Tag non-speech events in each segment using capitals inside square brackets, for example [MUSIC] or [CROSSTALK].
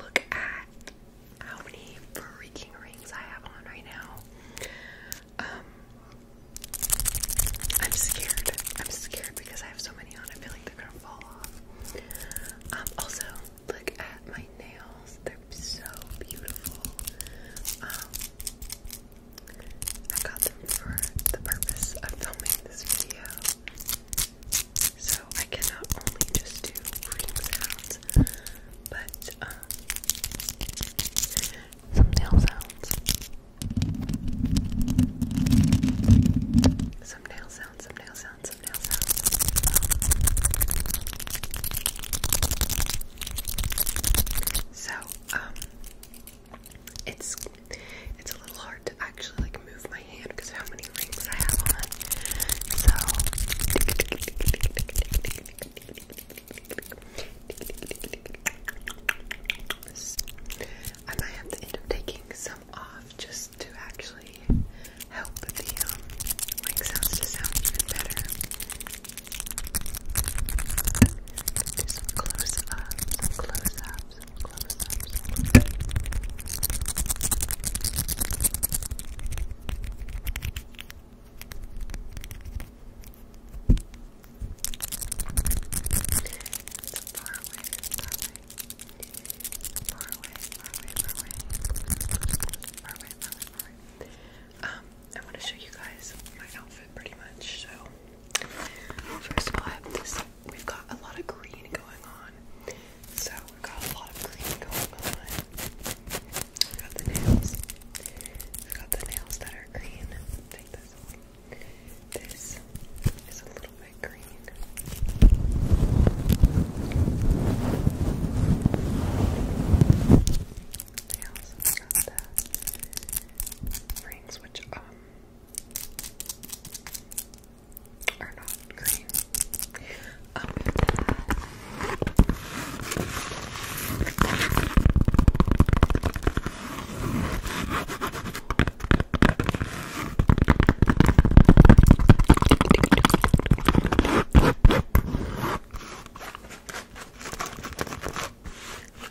Look at how many freaking rings I have on right now. Um, I'm scared. I'm scared because I have so many on. I feel like they're gonna fall off. Um, also, look at my nails. They're so beautiful. Um, I got them for the purpose of filming this video. So I cannot only just do rings out, but um, some nail sounds. Some nail sounds, some nail sounds, some nail sounds. So, um, it's it's a little hard to actually like move my hand because how many many rings So I might have to end up taking some off just to actually help the um, ring sound better. do some close up, close up, close up, far away, far away. Far away, far away, far away. Far away, far away, Um, I want to show you guys my outfit pretty much. So, first of all, We've got a lot of green going on. So we've got a lot of green going on. we got the nails. we got the nails that are green. Take this This is a little bit green. We've got the rings, which um are not green i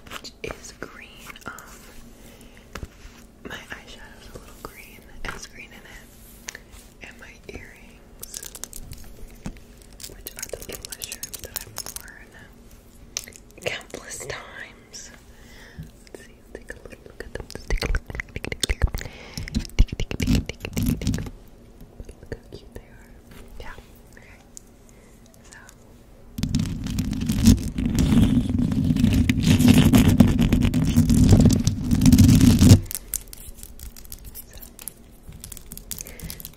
Which is green. Um, my eyeshadow's a little green. It has green in it and my earrings, which are the little mushrooms that I've worn countless times. Let's see, take a little look at them. Let's take a look. Look how cute they are. Yeah, okay. So. So,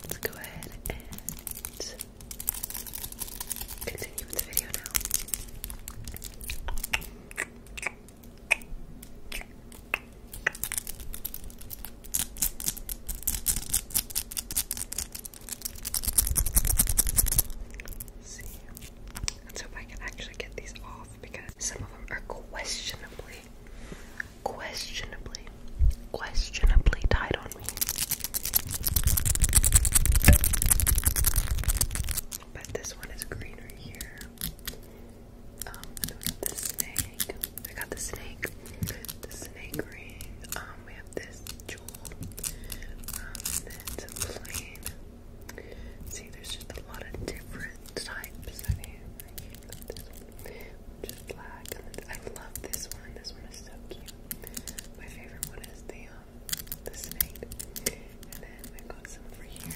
Let's go ahead and continue with the video now. Let's see. let I can actually get these off because some of them are questionably questionably, questionably tight on me. But this one is greener here. Um, the snake. I got the snake. The snake ring. Um, we have this jewel. Um, then plain. See, there's just a lot of different types. I mean, which black. I love this one. This one is so cute. My favorite one is the um, the snake. And then we got some over here.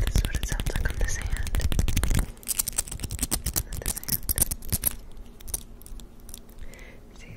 this is what it sounds like on this hand. See?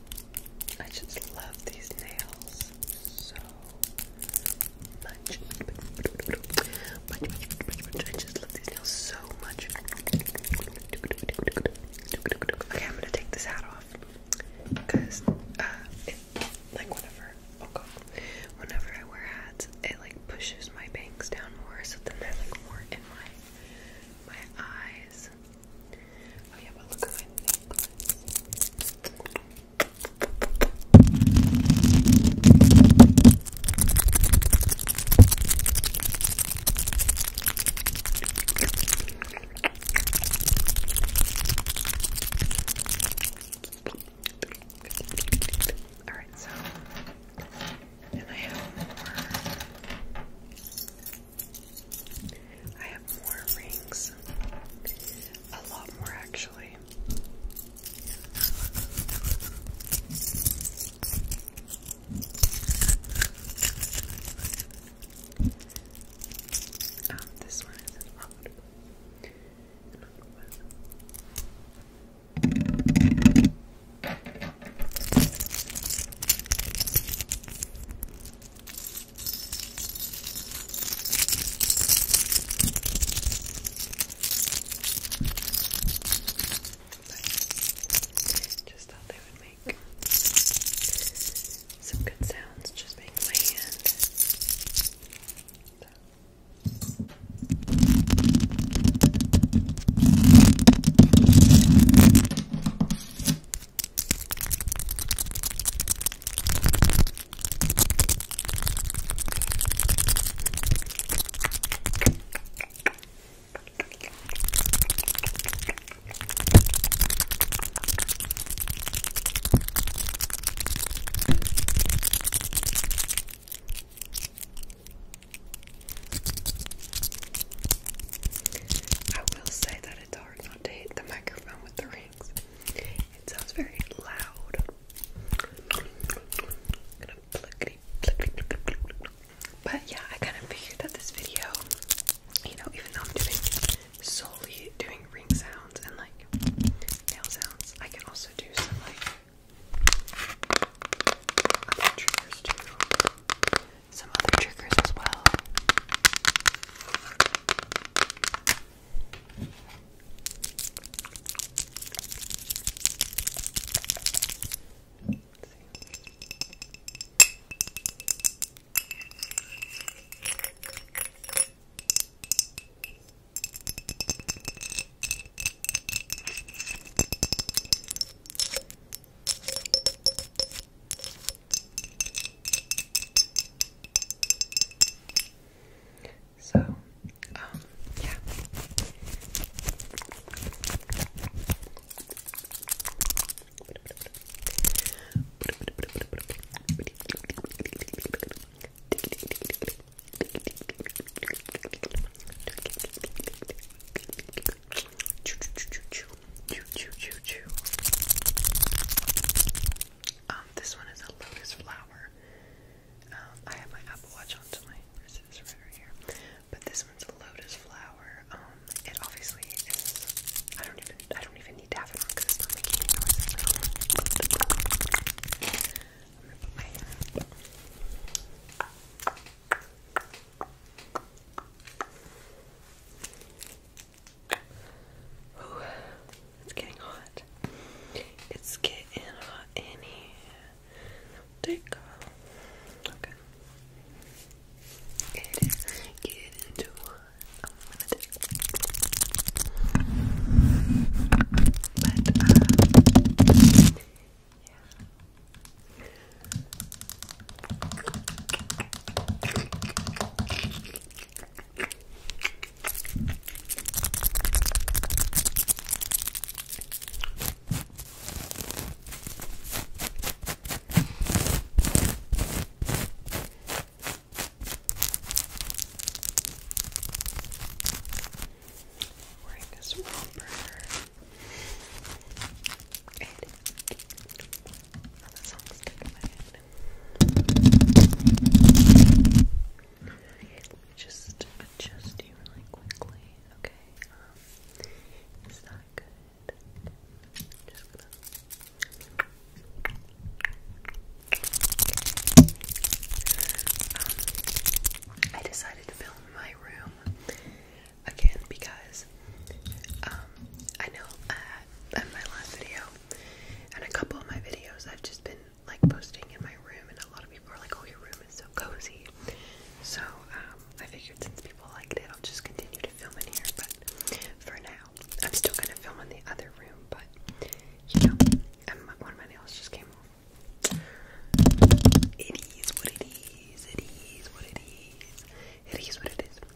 I just love these nails so much. I just love these nails so much. Okay, I'm gonna take this hat off because uh, it, like whenever oh god, whenever I wear hats, it like pushes my bangs down more, so then they're like more in my my eyes. Oh yeah, but look at Alright, so then I have more I have more rings. A lot more, actually. Um, this one is an odd just thought they would make some good sounds just being my hand. So. I will say though, it's hard not to hit the microphone with the rings. It sounds very loud. But yeah, I kind of figured that this video, you know, even though I'm doing solely doing ring sounds and like nail sounds, I can also do some like triggers too some other triggers as well. So, um, yeah. Choo choo choo choo choo choo choo choo. Um, this one is a lotus flower. Um, I have my Apple Watch on, my wrist right over here. But this one's a lotus flower. Um, it obviously is. I don't even. I don't even need to have it because it's not making any Ooh, it's getting hot. It's getting hot in here. Take off. Okay. It is getting too hot. I'm gonna take But, uh, yeah. Wearing this romper. And Oh, Just adjust you really quickly. Okay. Um, is good? I decided to film my room again because um, I know uh, in my last video and a couple of my videos, I've just been like posting in my room, and a lot of people are like, "Oh, your room is so cozy." So um, I figured since people like it, I'll just continue to film in here. But for now, I'm still gonna film in the other room. But you know, and my, one of my nails just came off. It is what it is. It is what it is. It is what it is.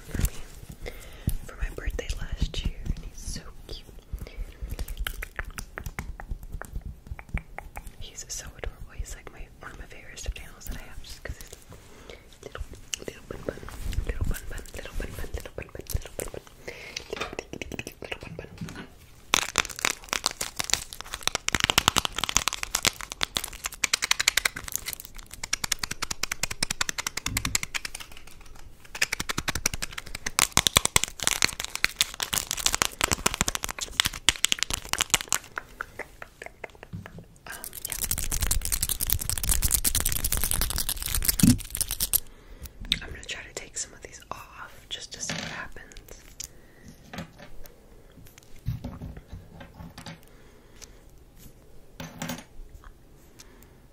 for me for my birthday last year, and he's so cute. He's so adorable. He's like one of my favorite stuffed that I have, just because little, bun bun, little bun bun, little bun bun, little bun bun, little bun bun, little bun bun. Little bun, bun. Um, yeah. I'm gonna try to take some of these off just to see what happens.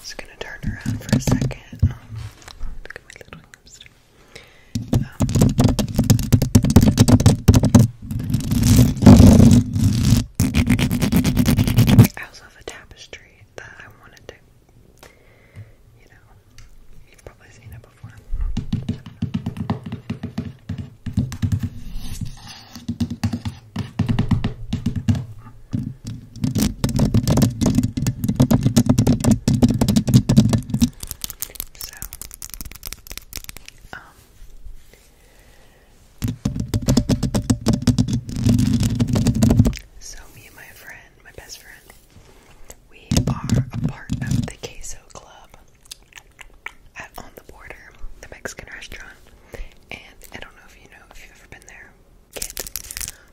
Just gonna turn around for a second. Um, little I also have a tapestry that I wanted to, you know, you've probably seen it before. So, um, so me and my friend, my best friend, we are a part of the Queso Club at On the Border, the Mexican restaurant. And I don't know if you know if you've ever been there, get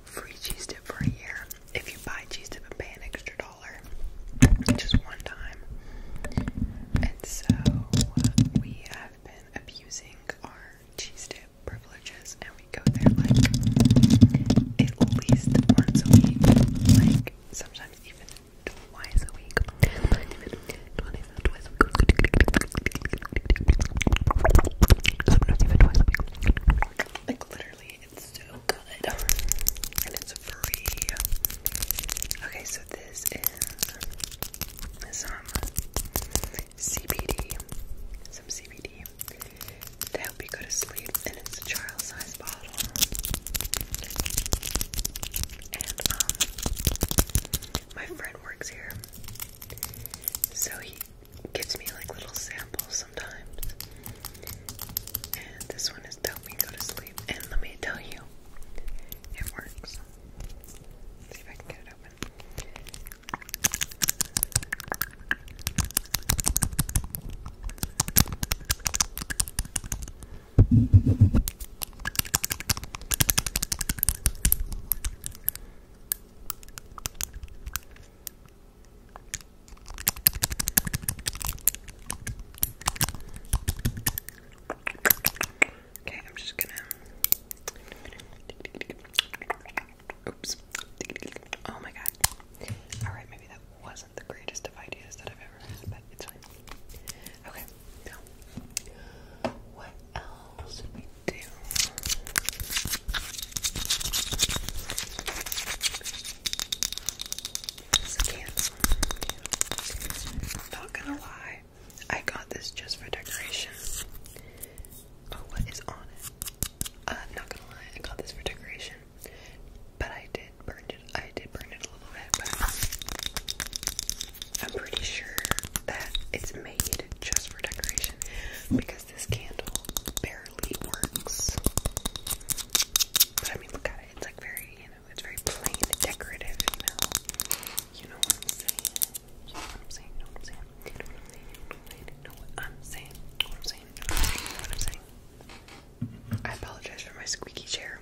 free cheese dip for a year if you buy cheese dip and pay an extra dollar just one time. And so uh, we have been abusing our cheese dip privileges and we go there like at least once a week, like sometimes even twice a week. Sometimes even twice a week. Sometimes even twice a week literally it's so good and it's free. Okay, so this is some CBD, some CBD to help you go to sleep, and it's a child size bottle. And um, my friend works here, so he gives me like little samples sometimes. And this one is to me go to sleep. And let me tell you, it works. see if I can get it open. Okay, I'm just gonna. Oops. Oh my god. Alright, maybe that wasn't the greatest of ideas that I've ever had, but it's fine. Okay, now. What else did we do? Not gonna lie, I got this just for decoration. Oh, what is on it? Uh, not gonna lie, I got this for decoration. But I did burn it. I did burn it a little bit, but I'm pretty sure that it's made just for decoration because this candle barely works. But I mean, look at it. It's like very, you know, it's very plain decorative, you know? You know what I'm saying? You know what I'm saying? You I'm saying? You I'm saying? You I'm saying? You I'm saying? I apologize for my squeaky chair.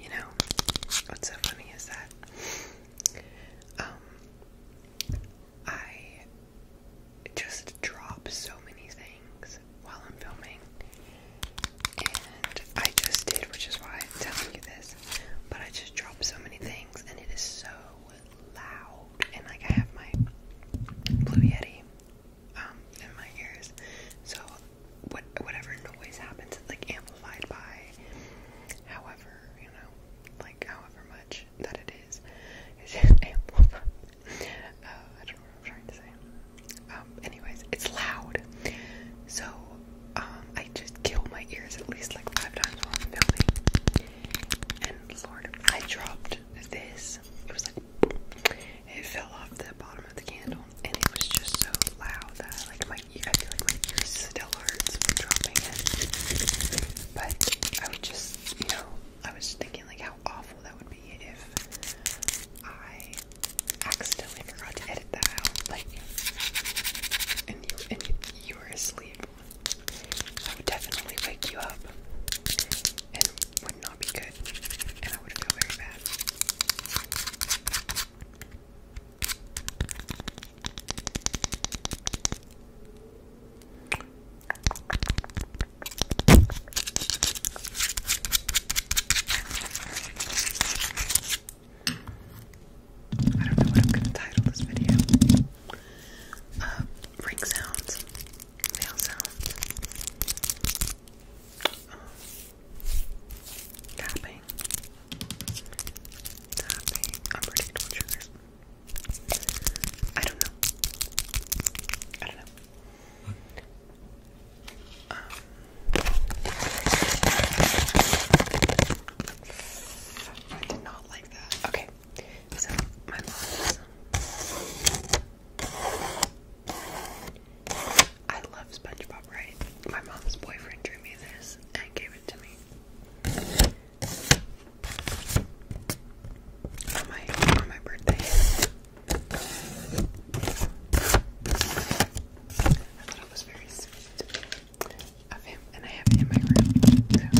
You know, what's so funny is that um I just drop so many things while I'm filming. And I just did, which is why I'm telling you this. But I just dropped so many things and it is so loud. And like I have my Blue Yeti um, in my ears. So whatever noise happens, it's like amplified by however you know, like however much that it is. It's [LAUGHS] amplified. Uh, I don't know what I'm trying to say. Um, anyways, it's loud. So um, I just kill my ears at least like five times while filming. And Lord, I dropped this. It fell off the bottom of the candle, and it was just so loud that I, like my I feel like my ears still hurts from dropping it. But I would just, you know, I was thinking like how awful that would be if I accidentally forgot to edit that out, like, and you and you, you were asleep. I would definitely wake you up would not be good, and I would feel very bad. I don't know what I'm gonna title this video. Uh, ring sounds, nail sounds, um, tapping, unpredictable triggers. I don't know. I don't know. Um, I did not like that. Okay, so my mom. I love SpongeBob, right? My mom's boyfriend drew me this and gave it to me. On my on my birthday. I thought it was very sweet of him, and I have it in my room.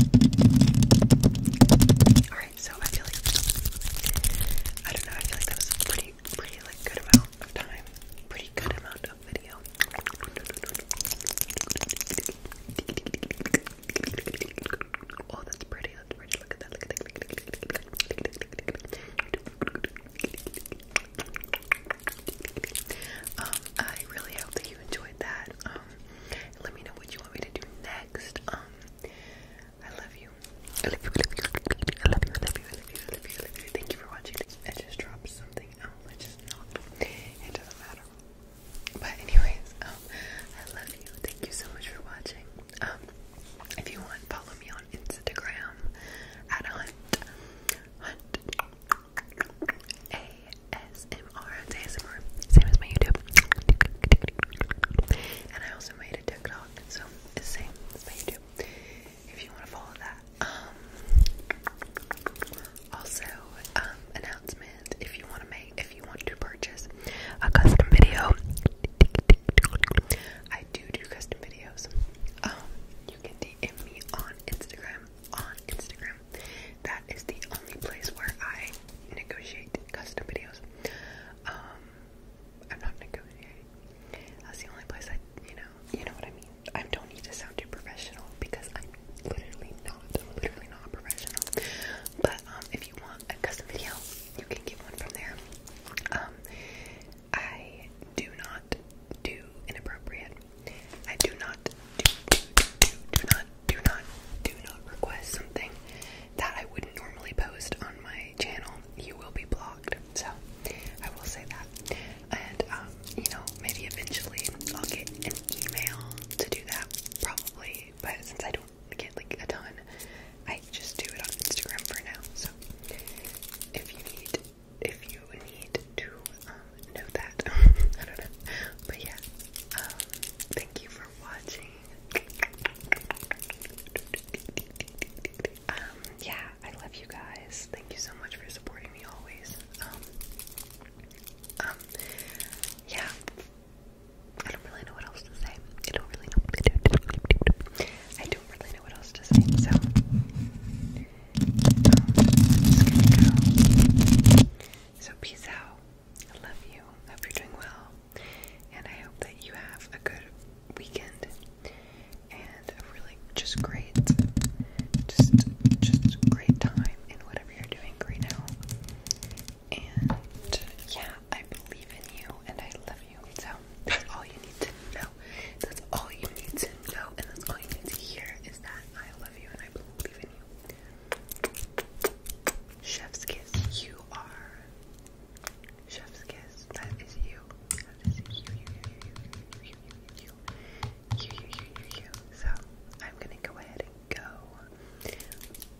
So. Alright, so I feel like I don't know, I feel like that was pretty pretty good amount of time, pretty good amount of video. Oh, that's pretty. That's pretty. Look at that. Look at that. Um, I really hope that you enjoyed that. Um, let me know what you want me to do next. Um, I love you. I love you, I love you, I love you, I love you, I love you, I love you, I love you. Thank you for watching. I just dropped something out, I just not. It doesn't matter. But anyways, um, I love you. Thank you so much for watching. Um, if you want, follow me on Instagram at Hunt Hunt ASMR ASMR. Same as my YouTube. And I also made a TikTok, so it's the same as my YouTube if you want to follow that. Um, also, um, announcement: if you want to make, if you want to purchase a custom video, I do do custom videos. Um, you can DM me on Instagram. On Instagram, that is the only place where I negotiate custom videos. I'm not negotiating. That's the only place I, you know, you know what I mean. I don't need to sound too professional because I'm literally not, literally not professional. But um, if you want a custom video, you can get one from there. Um, I do not do inappropriate. I do not do, do, do, do not, do not, do not request something that I wouldn't normally post on my channel you will be blocked. So I will say that. And um, you know, maybe eventually I'll get an email to do that, probably. But since I don't get like a ton, I just do it on Instagram for now. So if you need, if you need to um, know that, [LAUGHS] I don't know. But yeah, um, thank you for watching. Um, yeah, I love you guys. Thank you so much for supporting me always. Um, um, yeah. I don't really know what else to say. I don't really know. I don't really know what else to say. So, So peace out. I love you. Hope you're doing well, and I hope that you have a good weekend and a really just great just just great time in whatever you're doing right now. And yeah, I believe in you and I love you. So that's all you need to know. That's all you need to know and that's all you need to hear is that I love you and I believe in you. Chef's kiss, you are Chef's kiss. That is you. That is you, you, you, you, you, you, you, you, you, you, you, So I'm gonna go ahead and go.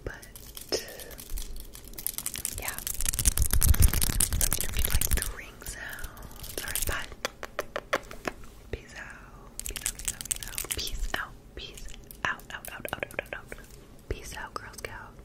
But yeah. Let me know if like the ring sound. Alright, bye. Peace out. Peace out, peace out, peace out. Peace out. out, out, out, out, out, out, Peace out, Girl Scout.